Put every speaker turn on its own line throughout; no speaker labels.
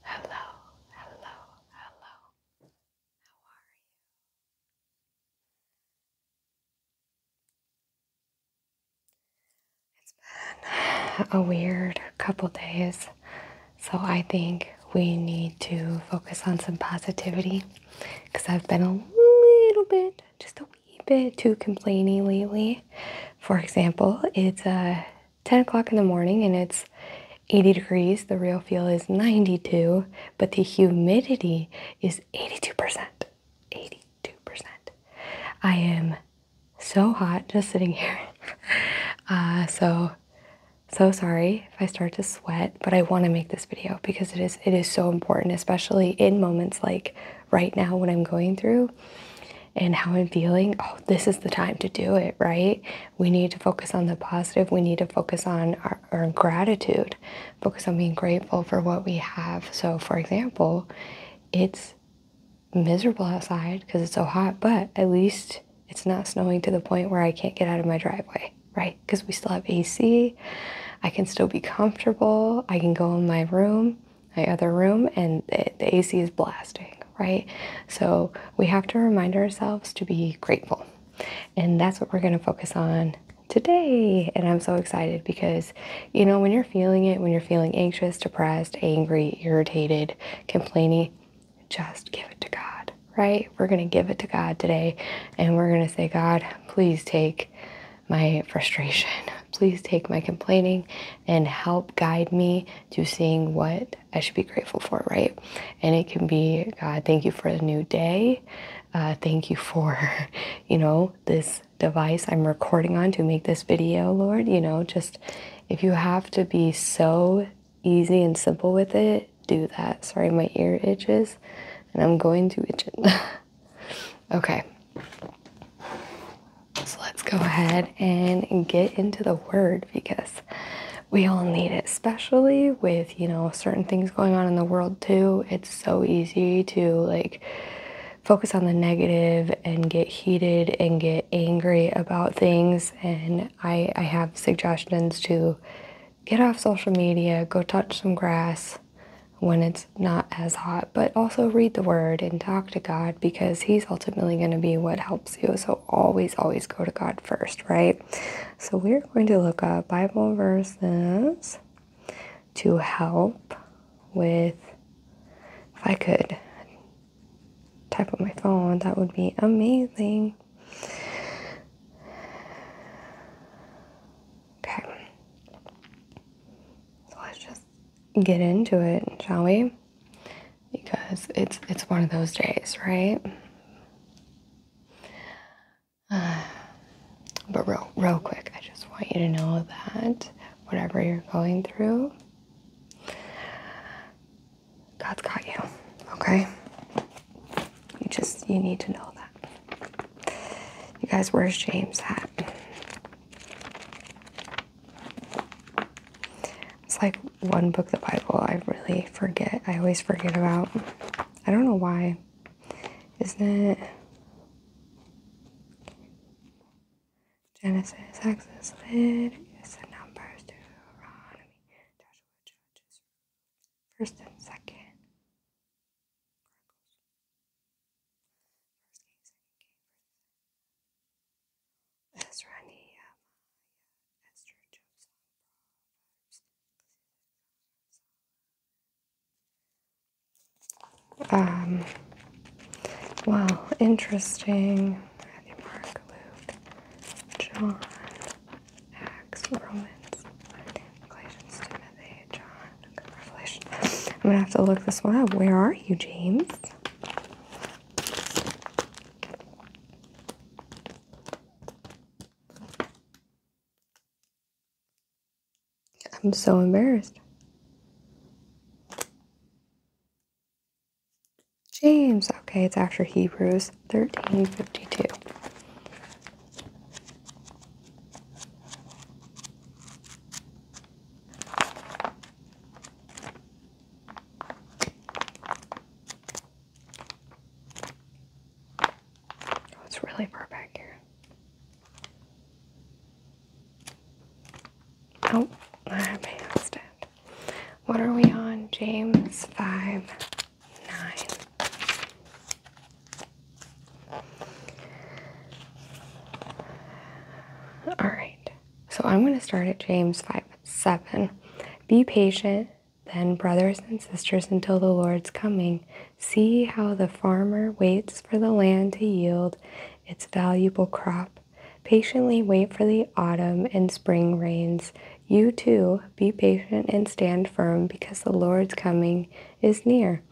Hello, hello, hello. How are you? It's been a weird couple days, so I think we need to focus on some positivity because I've been a little bit, just a wee bit too complaining lately. For example, it's a 10 o'clock in the morning and it's 80 degrees. The real feel is 92, but the humidity is 82%. 82%. I am so hot just sitting here. Uh, so, so sorry if I start to sweat, but I want to make this video because it is, it is so important, especially in moments like right now when I'm going through and how I'm feeling, oh, this is the time to do it, right? We need to focus on the positive. We need to focus on our, gratitude, focus on being grateful for what we have. So, for example, it's miserable outside because it's so hot, but at least it's not snowing to the point where I can't get out of my driveway, right? Because we still have AC. I can still be comfortable. I can go in my room, my other room, and the AC is blasting right? So we have to remind ourselves to be grateful. And that's what we're going to focus on today. And I'm so excited because, you know, when you're feeling it, when you're feeling anxious, depressed, angry, irritated, complaining, just give it to God, right? We're going to give it to God today. And we're going to say, God, please take my frustration. Please take my complaining and help guide me to seeing what I should be grateful for, right? And it can be, God, thank you for a new day. Uh, thank you for, you know, this device I'm recording on to make this video, Lord. You know, just if you have to be so easy and simple with it, do that. Sorry, my ear itches and I'm going to itch it. okay. So let's go ahead and get into the word because we all need it, especially with, you know, certain things going on in the world too. It's so easy to like focus on the negative and get heated and get angry about things. And I, I have suggestions to get off social media, go touch some grass when it's not as hot, but also read the word and talk to God because He's ultimately going to be what helps so always, always go to God first, right? So we're going to look up Bible verses to help with, if I could type on my phone, that would be amazing. Okay. So let's just get into it, shall we? because it's it's one of those days, right? but real, real quick, I just want you to know that whatever you're going through, God's got you, okay? You just, you need to know that. You guys, where's James at? It's like one book, the Bible, I really forget. I always forget about. I don't know why. Isn't it Genesis, Exodus, Leviticus, and Numbers, Deuteronomy, First and Second? Ezrani Amaya, uh, Esther, Jobson, Um, wow, interesting. Matthew, Mark, Luke, John, Acts, Romans, Galatians, Timothy, John, Revelation. I'm gonna have to look this one up. Where are you, James? I'm so embarrassed. James. Okay, it's after Hebrews 1352. Oh, it's really far back here. Oh, I have my hand What are we on? James 5 9. All right. So I'm going to start at James 5 7. Be patient, then, brothers and sisters, until the Lord's coming. See how the farmer waits for the land to yield its valuable crop. Patiently wait for the autumn and spring rains. You too, be patient and stand firm, because the Lord's coming is near.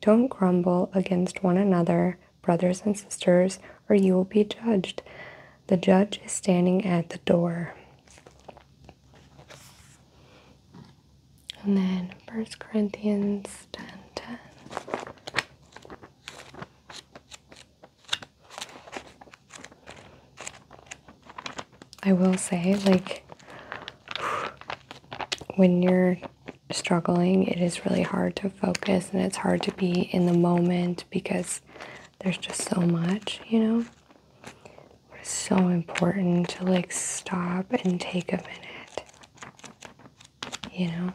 Don't grumble against one another, brothers and sisters, or you will be judged. The judge is standing at the door. And then 1 Corinthians 10 I will say, like, when you're struggling, it is really hard to focus and it's hard to be in the moment because there's just so much, you know? It's so important to like stop and take a minute. You know?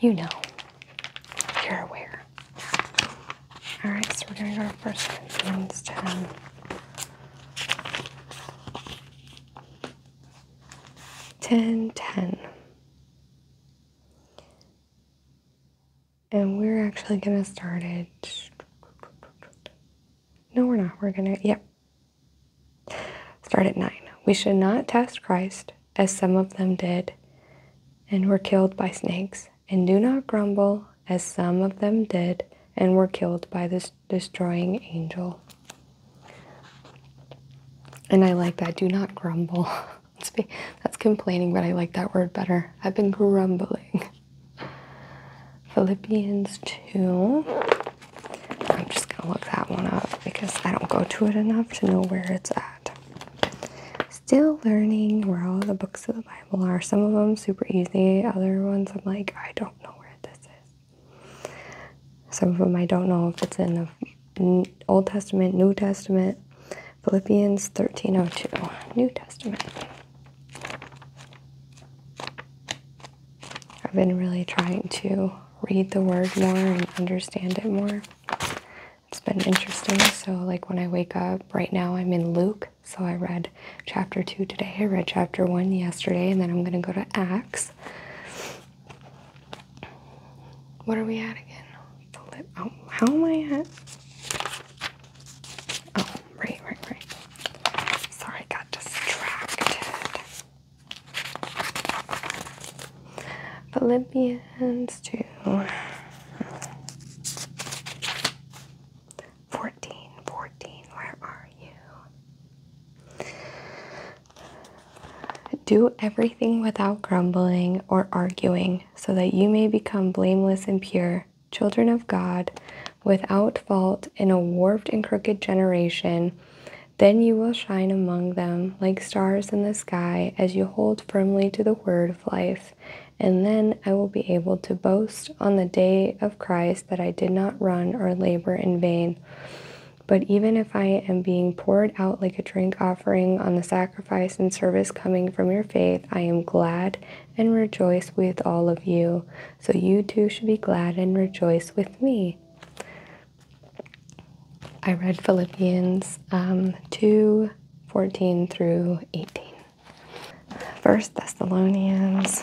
You know. You're aware. Alright, so we're gonna go to First Corinthians and we're actually gonna start it. No, we're not. We're gonna, yep. Start at nine. We should not test Christ as some of them did and were killed by snakes, and do not grumble as some of them did and were killed by this destroying angel. And I like that. Do not grumble. That's complaining, but I like that word better. I've been grumbling. Philippians 2. I'm just going to look that one up because I don't go to it enough to know where it's at. Still learning where all the books of the Bible are. Some of them super easy, other ones I'm like, I don't know where this is. Some of them I don't know if it's in the Old Testament, New Testament. Philippians 13:02, New Testament. I've been really trying to read the word more and understand it more. It's been interesting. So like when I wake up, right now I'm in Luke, so I read chapter 2 today. I read chapter 1 yesterday, and then I'm going to go to Acts. What are we at again? The lip. Oh, how am I at? Oh, right, right, right. Sorry, got distracted. Philippians 2. where are you? Do everything without grumbling or arguing so that you may become blameless and pure, children of God, without fault in a warped and crooked generation. Then you will shine among them like stars in the sky as you hold firmly to the word of life. And then I will be able to boast on the day of Christ that I did not run or labor in vain. But even if I am being poured out like a drink offering on the sacrifice and service coming from your faith, I am glad and rejoice with all of you. So you too should be glad and rejoice with me. I read Philippians um, 2 14 through 18. First Thessalonians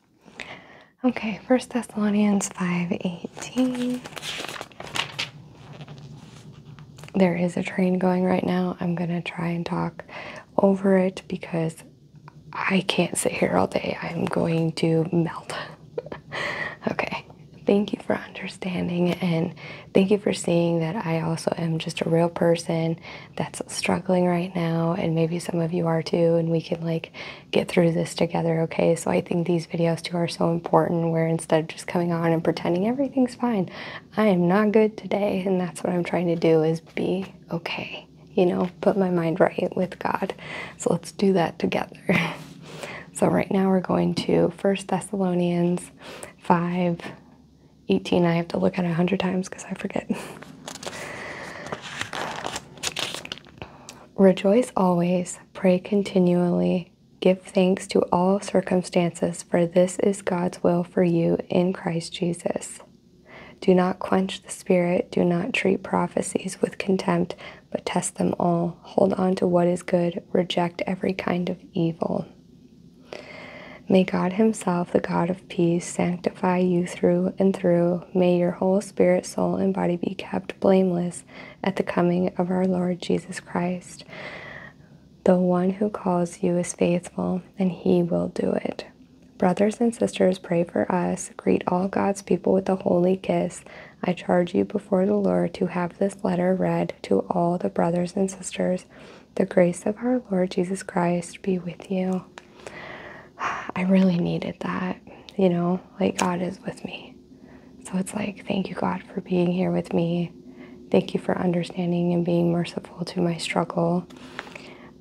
Okay, First Thessalonians 5:18. There is a train going right now. I'm going to try and talk over it because I can't sit here all day. I'm going to melt. okay. Thank you for understanding and thank you for seeing that I also am just a real person that's struggling right now and maybe some of you are too and we can like get through this together, okay? So I think these videos too are so important where instead of just coming on and pretending everything's fine, I am not good today. And that's what I'm trying to do is be okay, you know, put my mind right with God. So let's do that together. so right now we're going to First Thessalonians 5 18. I have to look at it 100 times because I forget. Rejoice always, pray continually, give thanks to all circumstances, for this is God's will for you in Christ Jesus. Do not quench the Spirit, do not treat prophecies with contempt, but test them all. Hold on to what is good, reject every kind of evil. May God Himself, the God of peace, sanctify you through and through. May your whole spirit, soul, and body be kept blameless at the coming of our Lord Jesus Christ. The one who calls you is faithful, and he will do it. Brothers and sisters, pray for us. Greet all God's people with a holy kiss. I charge you before the Lord to have this letter read to all the brothers and sisters. The grace of our Lord Jesus Christ be with you. I really needed that, you know, like God is with me. So it's like, thank you, God, for being here with me. Thank you for understanding and being merciful to my struggle.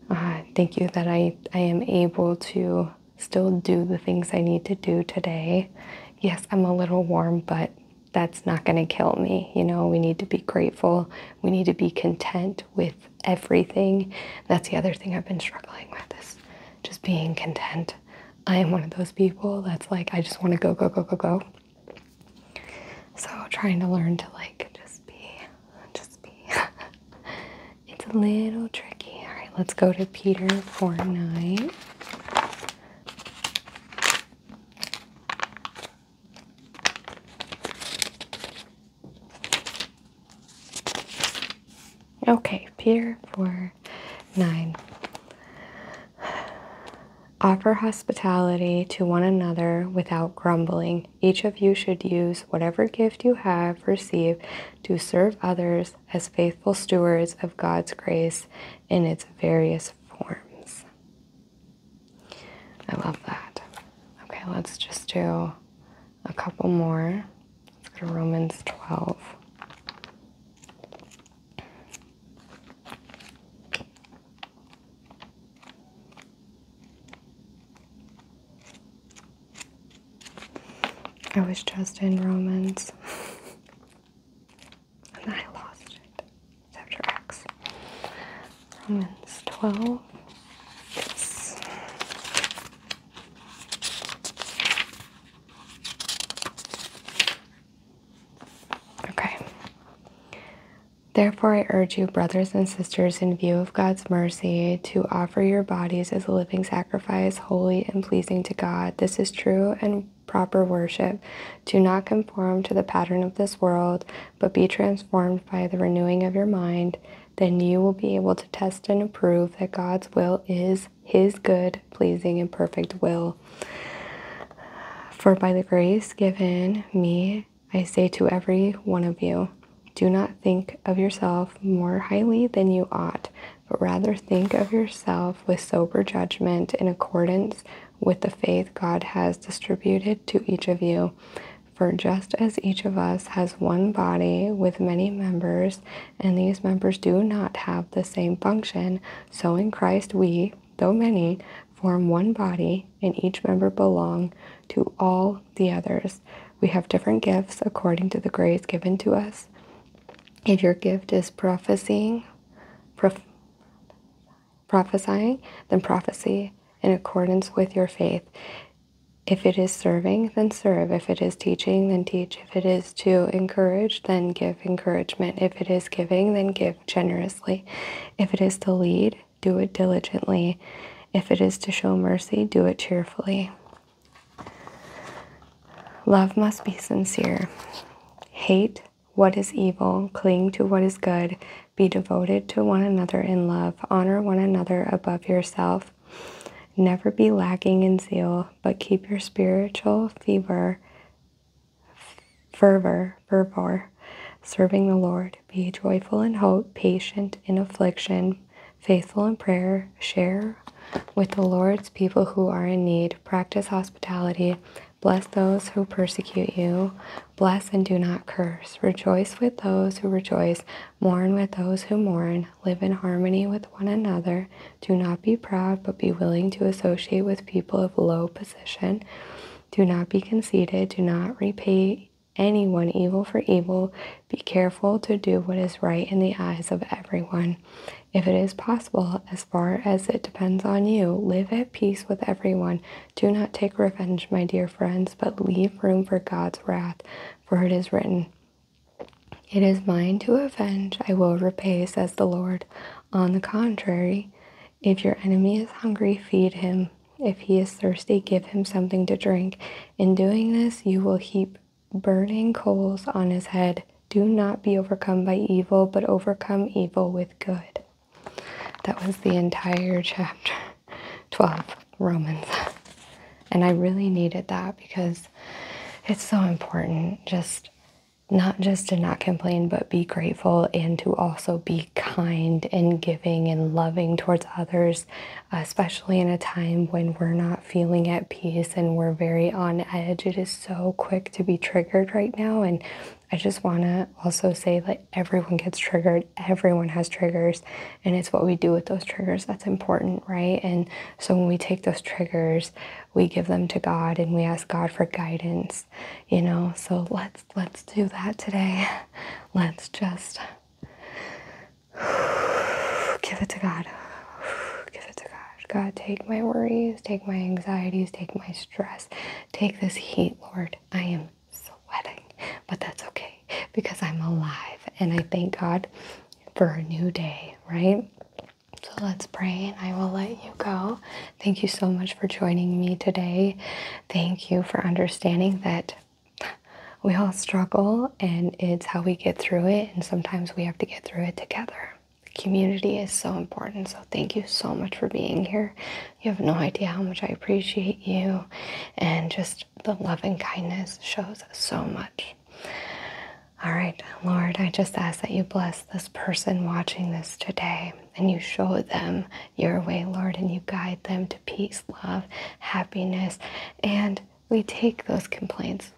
Uh, thank you that I, I am able to still do the things I need to do today. Yes, I'm a little warm, but that's not going to kill me. You know, we need to be grateful. We need to be content with everything. That's the other thing I've been struggling with just being content. I am one of those people that's like, I just want to go, go, go, go, go. So trying to learn to like just be, just be. it's a little tricky. All right, let's go to Peter 4 9. Okay, pier four, nine. Offer hospitality to one another without grumbling. Each of you should use whatever gift you have received to serve others as faithful stewards of God's grace in its various forms. I love that. Okay, let's just do a couple more. Let's go to Romans 12. I was just in Romans. and I lost it. Chapter X. Romans 12. Okay. Therefore, I urge you, brothers and sisters, in view of God's mercy, to offer your bodies as a living sacrifice, holy and pleasing to God. This is true and proper worship. Do not conform to the pattern of this world, but be transformed by the renewing of your mind. Then you will be able to test and approve that God's will is his good, pleasing, and perfect will. For by the grace given me, I say to every one of you, do not think of yourself more highly than you ought, but rather think of yourself with sober judgment in accordance with the faith God has distributed to each of you. For just as each of us has one body with many members, and these members do not have the same function. So in Christ, we, though many, form one body, and each member belong to all the others. We have different gifts according to the grace given to us. If your gift is prophesying, prophesying, then prophecy in accordance with your faith. If it is serving, then serve. If it is teaching, then teach. If it is to encourage, then give encouragement. If it is giving, then give generously. If it is to lead, do it diligently. If it is to show mercy, do it cheerfully. Love must be sincere. Hate what is evil, cling to what is good, be devoted to one another in love, honor one another above yourself, Never be lacking in zeal, but keep your spiritual fever, fervor, fervor, serving the Lord. Be joyful in hope, patient in affliction, faithful in prayer. Share with the Lord's people who are in need. Practice hospitality. Bless those who persecute you. Bless and do not curse. Rejoice with those who rejoice. Mourn with those who mourn live in harmony with one another, do not be proud, but be willing to associate with people of low position. Do not be conceited, do not repay anyone evil for evil. Be careful to do what is right in the eyes of everyone. If it is possible, as far as it depends on you, live at peace with everyone. Do not take revenge, my dear friends, but leave room for God's wrath, for it is written, it is mine to avenge, I will repay, says the Lord. On the contrary, if your enemy is hungry, feed him. If he is thirsty, give him something to drink. In doing this, you will heap burning coals on his head. Do not be overcome by evil, but overcome evil with good. That was the entire chapter 12, Romans. And I really needed that because it's so important just not just to not complain but be grateful and to also be kind and giving and loving towards others especially in a time when we're not feeling at peace and we're very on edge it is so quick to be triggered right now and i just want to also say that everyone gets triggered everyone has triggers and it's what we do with those triggers that's important right and so when we take those triggers, we give them to God and we ask God for guidance, you know. So let's let's do that today. Let's just give it to God. Give it to God. God, take my worries, take my anxieties, take my stress. Take this heat, Lord. I am sweating, but that's okay because I'm alive and I thank God for a new day, right? So let's pray and I will let you go. Thank you so much for joining me today. Thank you for understanding that we all struggle and it's how we get through it. And sometimes we have to get through it together. Community is so important. So thank you so much for being here. You have no idea how much I appreciate you. And just the love and kindness shows so much. All right, Lord, I just ask that you bless this person watching this today and you show them your way, Lord, and you guide them to peace, love, happiness. And we take those complaints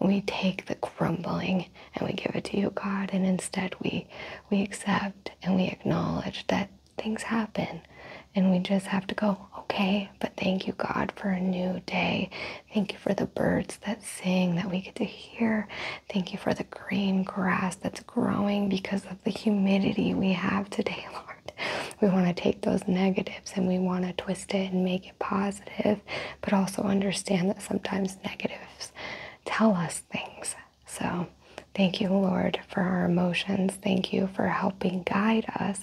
we take the grumbling and we give it to you, God. And instead, we, we accept and we acknowledge that things happen. And we just have to go, okay, but thank you, God, for a new day Thank you for the birds that sing that we get to hear. Thank you for the green grass that's growing because of the humidity we have today, Lord. We want to take those negatives and we want to twist it and make it positive, but also understand that sometimes negatives tell us things. So, Thank you, Lord, for our emotions. Thank you for helping guide us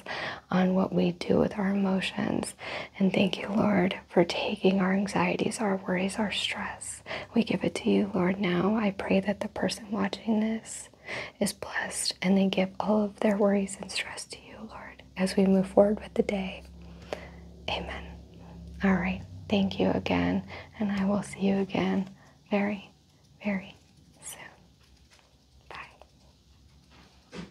on what we do with our emotions. And thank you, Lord, for taking our anxieties, our worries, our stress. We give it to you, Lord, now. I pray that the person watching this is blessed and they give all of their worries and stress to you, Lord, as we move forward with the day. Amen. All right. Thank you again. And I will see you again very, very soon.